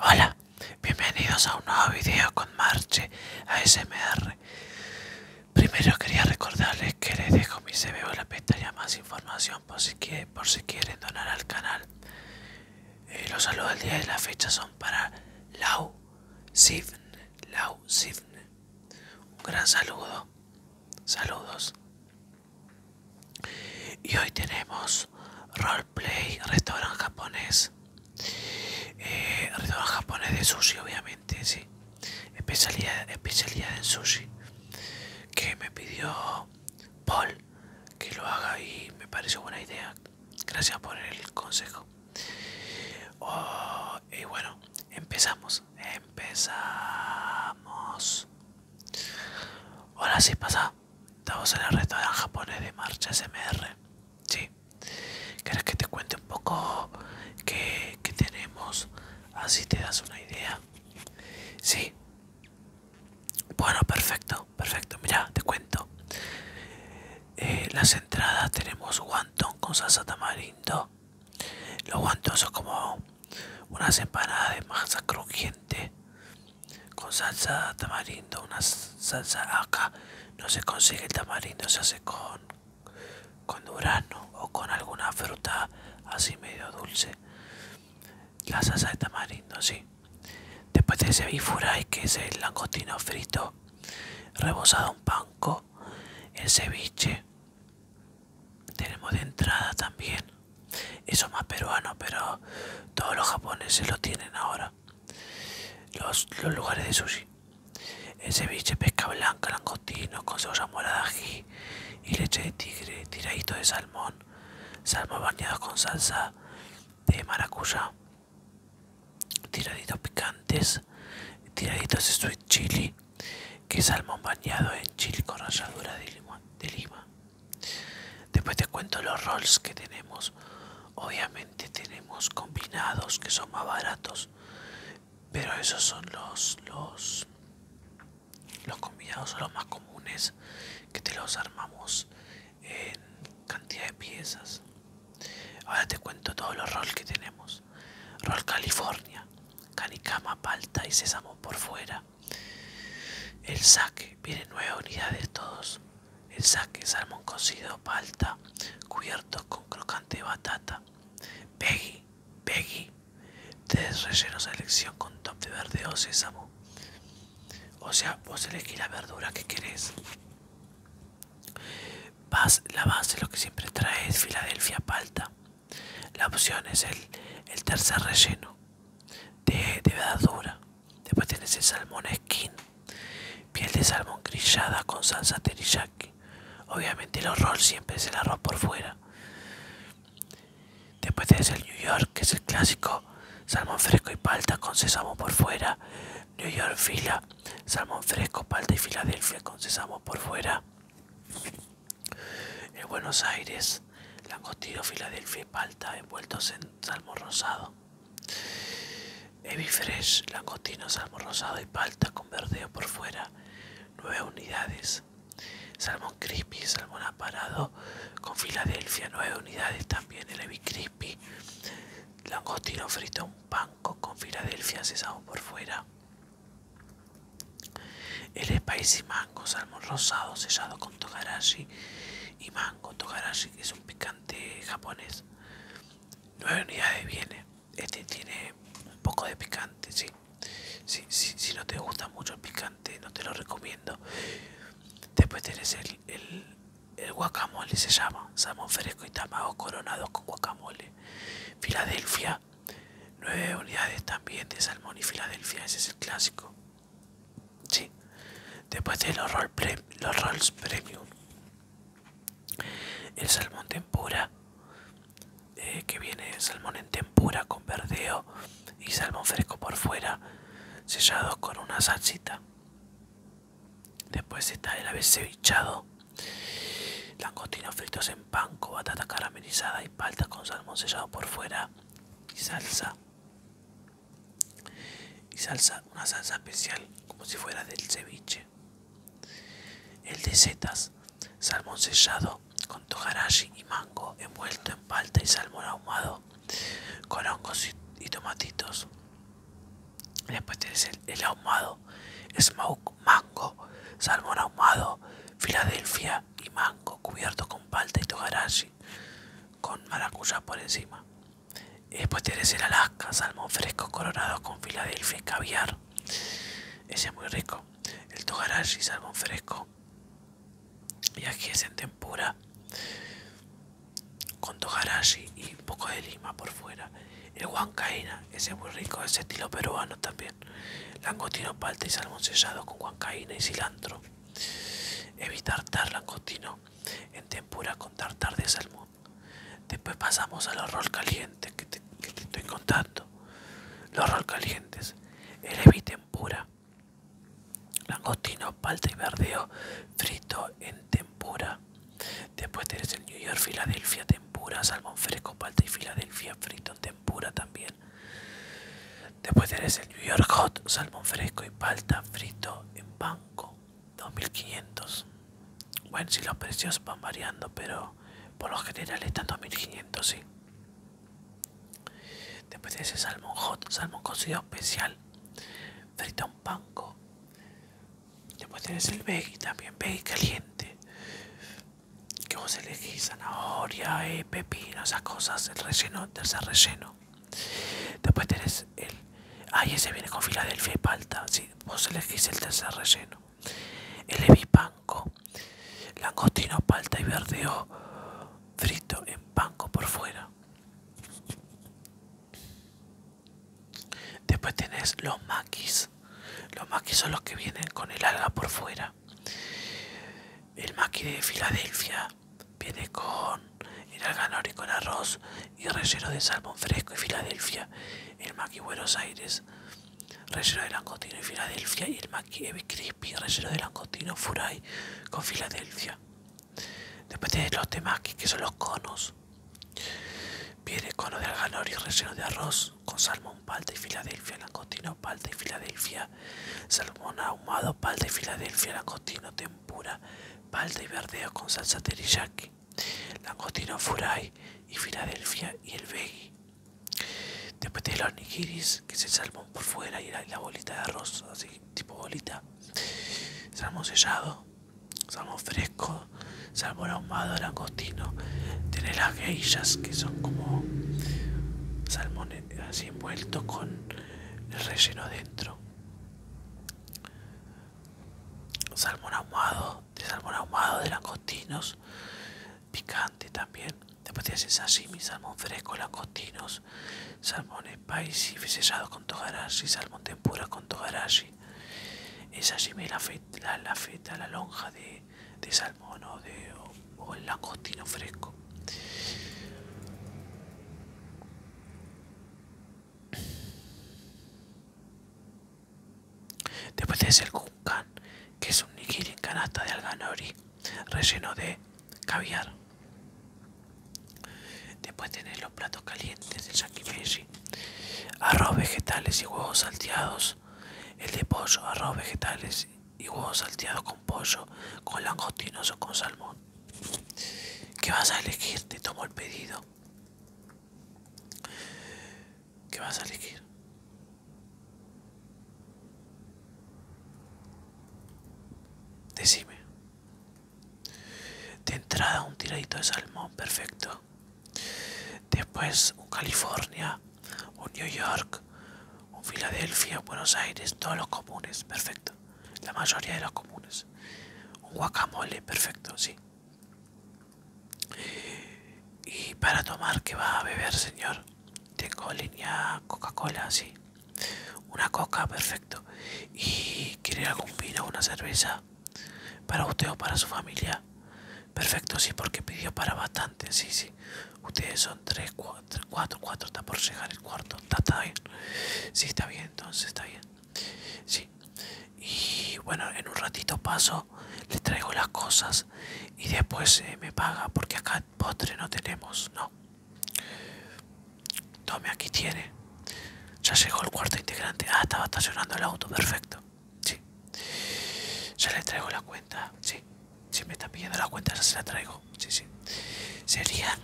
Hola, bienvenidos a un nuevo video con Marche ASMR. Primero quería recordarles que les dejo mi CV en la pestaña más información por si quieren, donar al canal. Eh, los saludos del día y de la fecha son para Lau Sivne Un gran saludo. Saludos. Y hoy tenemos roleplay, restaurante japonés. Eh, restaurante japonés de sushi, obviamente, sí. Especialidad, especialidad en sushi. Que me pidió Paul que lo haga y me pareció buena idea. Gracias por el consejo. Oh, y bueno, empezamos. Empezamos. Hola, sí, pasa. Estamos en el restaurante japonés de Marcha SMR. Sí. ¿Querés que te cuente un poco qué, tenemos? Así te das una idea. Sí. Bueno, perfecto, perfecto. Mira, te cuento. Eh, las entradas tenemos wonton con salsa tamarindo. Los wonton son como unas empanadas de masa crujiente con salsa tamarindo, una salsa acá no se consigue el tamarindo, se hace con, con durano o con alguna fruta así medio dulce. La salsa de tamarindo, sí. Después de ese bifuray, que es el langostino frito, rebozado un panco, el ceviche. Tenemos de entrada también, eso más peruano, pero todos los japoneses lo tienen ahora los, lugares de sushi. ceviche, pesca blanca, langostino con cebolla morada, ají y leche de tigre, tiraditos de salmón, salmón bañado con salsa de maracuyá, tiraditos picantes, tiraditos de sweet chili, que es salmón bañado en chili con ralladura de limón, De lima. Después te cuento los rolls que tenemos. Obviamente tenemos combinados que son más baratos. Pero esos son los, los, los combinados, son los más comunes que te los armamos en cantidad de piezas. Ahora te cuento todos los rolls que tenemos. Roll California, canicama, palta y sésamo por fuera. El saque, vienen nueve unidades todos. El saque, salmón cocido, palta, cubierto con crocante de batata. Peggy, Peggy, tres rellenos a elección con top de verde o sésamo. O sea, vos elegís la verdura que querés. La base lo que siempre trae es Filadelfia palta. La opción es el, tercer relleno de, de verdura. Después tenés el salmón skin, piel de salmón grillada con salsa teriyaki. Obviamente el horror siempre es el arroz por fuera. Después tenés el New York, que es el clásico, salmón fresco y palta con sésamo por fuera. New York fila, salmón fresco, palta y Filadelfia con sésamo por fuera. en Buenos Aires, langostino, Filadelfia y palta envueltos en salmón rosado. Fresh, langostino, salmón rosado y palta con verdeo por fuera, nueve unidades. Salmón crispy, salmón aparado con Filadelfia, nueve unidades. También el heavy crispy, langostino frito, un panco con Filadelfia, cesado por fuera. El spicy mango, salmón rosado sellado con togarashi y mango. Togarashi que es un picante japonés. nueve unidades viene. Este tiene un poco de picante, sí. Si, no te gusta mucho el picante, no te lo recomiendo. Después tenés el, el, guacamole, se llama. Salmón fresco y tamago coronado con guacamole. Filadelfia, nueve unidades también de salmón y Filadelfia, ese es el clásico. Sí. Después de los, rolls premium. El salmón tempura. Eh, que viene salmón en tempura con verdeo y salmón fresco por fuera. sellado con una salsita. Después está el ave cevichado. Langostinos fritos en pan con batata caramelizada y palta con salmón sellado por fuera y salsa y salsa una salsa especial como si fuera del ceviche el de setas salmón sellado con toharashi y mango envuelto en palta y salmón ahumado con hongos y, tomatitos después tenés el, ahumado smoke mango salmón ahumado filadelfia y mango cubierto con palta y togarashi con maracuyá por encima después tienes el Alaska, salmón fresco coronado con Filadelfia y caviar. Ese es muy rico. El togarashi, salmón fresco. Y aquí es en tempura. Con togarashi y un poco de lima por fuera. El huancaína, ese es muy rico, ese estilo peruano también. Langostino palta y salmón sellado con huancaína y cilantro. Evitar tartar langostino en tempura con tartar de salmón. Después pasamos al rol caliente que te, que estoy contando. Los roll calientes, el heavy tempura, langostino, palta y verdeo frito en tempura. Después tenés el New York, Filadelfia, tempura, salmón fresco, palta y Filadelfia frito en tempura también. Después tenés el New York Hot, salmón fresco y palta frito en banco. 2500 bueno si los precios van variando pero por lo general están 2500 sí después de ese salmón hot salmón cocido especial a un panco después tenés el veggie también veggie caliente que vos elegís zanahoria y eh, pepino esas cosas el relleno tercer relleno Después tenés el... ay se ese viene con Filadelfia y palta. Sí, vos elegís el tercer relleno. El evipanco. Langostino, palta y verdeo frito en panco por fuera. Después tenés los maquis. Los maquis son los que vienen con el alga por fuera. El maqui de Filadelfia Viene con el ganori con arroz y relleno de salmón fresco y Filadelfia. El maqui Buenos Aires, relleno de langostino y Filadelfia. Y el maqui Ebi Crispy, relleno de langostino Furay con Filadelfia. Después tenés los temaki, que son los conos. Viene cono de alganori relleno de arroz con salmón, palta y Filadelfia, langostino, palta y Filadelfia, salmón ahumado, palta y Filadelfia, langostino, pura, palta y verdea con salsa teriyaki, langostino furai y Filadelfia y el veggie. Después de los nigiris, que es el salmón por fuera y la, bolita de arroz, así tipo bolita. Salmón sellado, salmón fresco, salmón ahumado, langostino. tiene las geillas, que son como salmón así envuelto con el relleno dentro salmón ahumado, de salmón ahumado de langostinos, picante también. Después tienes el sashimi, salmón fresco, langostinos, salmón spicy, sellado con togarashi, salmón tempura con togarashi. El sashimi es la, la, feta, la lonja de, salmón o, de, o el fresco. Después de el kunkan, que es un nigiri en canasta de alganori, relleno de caviar. Después tenés los platos calientes del yakimeshi, arroz vegetales y huevos salteados, el de pollo, arroz vegetales y huevos salteados con pollo, con langostinos o con salmón. ¿Qué vas a elegir? Te tomo el pedido. ¿Qué vas a elegir? Decime. De entrada un tiradito de salmón, perfecto. Después un California, un New York, un Filadelfia, Buenos Aires, todos los comunes, perfecto la mayoría de los comunes Un guacamole, perfecto, sí. Y para tomar, que va a beber, señor? Tengo línea Coca-Cola, sí. Una coca, perfecto. ¿Y quiere algún vino, una cerveza? Para usted o para su familia. Perfecto, sí, porque pidió para bastante, sí, sí. Ustedes son tres, cuatro, cuatro, cuatro, está por llegar el cuarto. Está, está bien. Sí, está bien, entonces está bien. Sí. Y bueno, en un ratito paso, le traigo las cosas y después eh, me paga porque acá postre no tenemos, no. Tome, aquí tiene. Ya llegó el cuarto integrante. Ah, estaba estacionando el auto, perfecto. Sí. Ya le traigo la cuenta, sí. Si me está pidiendo la cuenta, ya se la traigo. Sí, sí. sería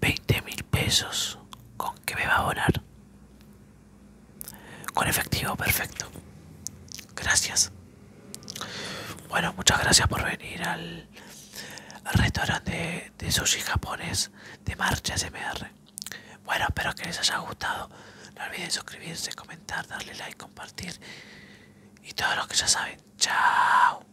20 mil pesos con que me va a abonar con efectivo perfecto gracias bueno muchas gracias por venir al, al restaurante de, sushi japonés de marcha smr bueno espero que les haya gustado no olviden suscribirse comentar darle like compartir y todo lo que ya saben chao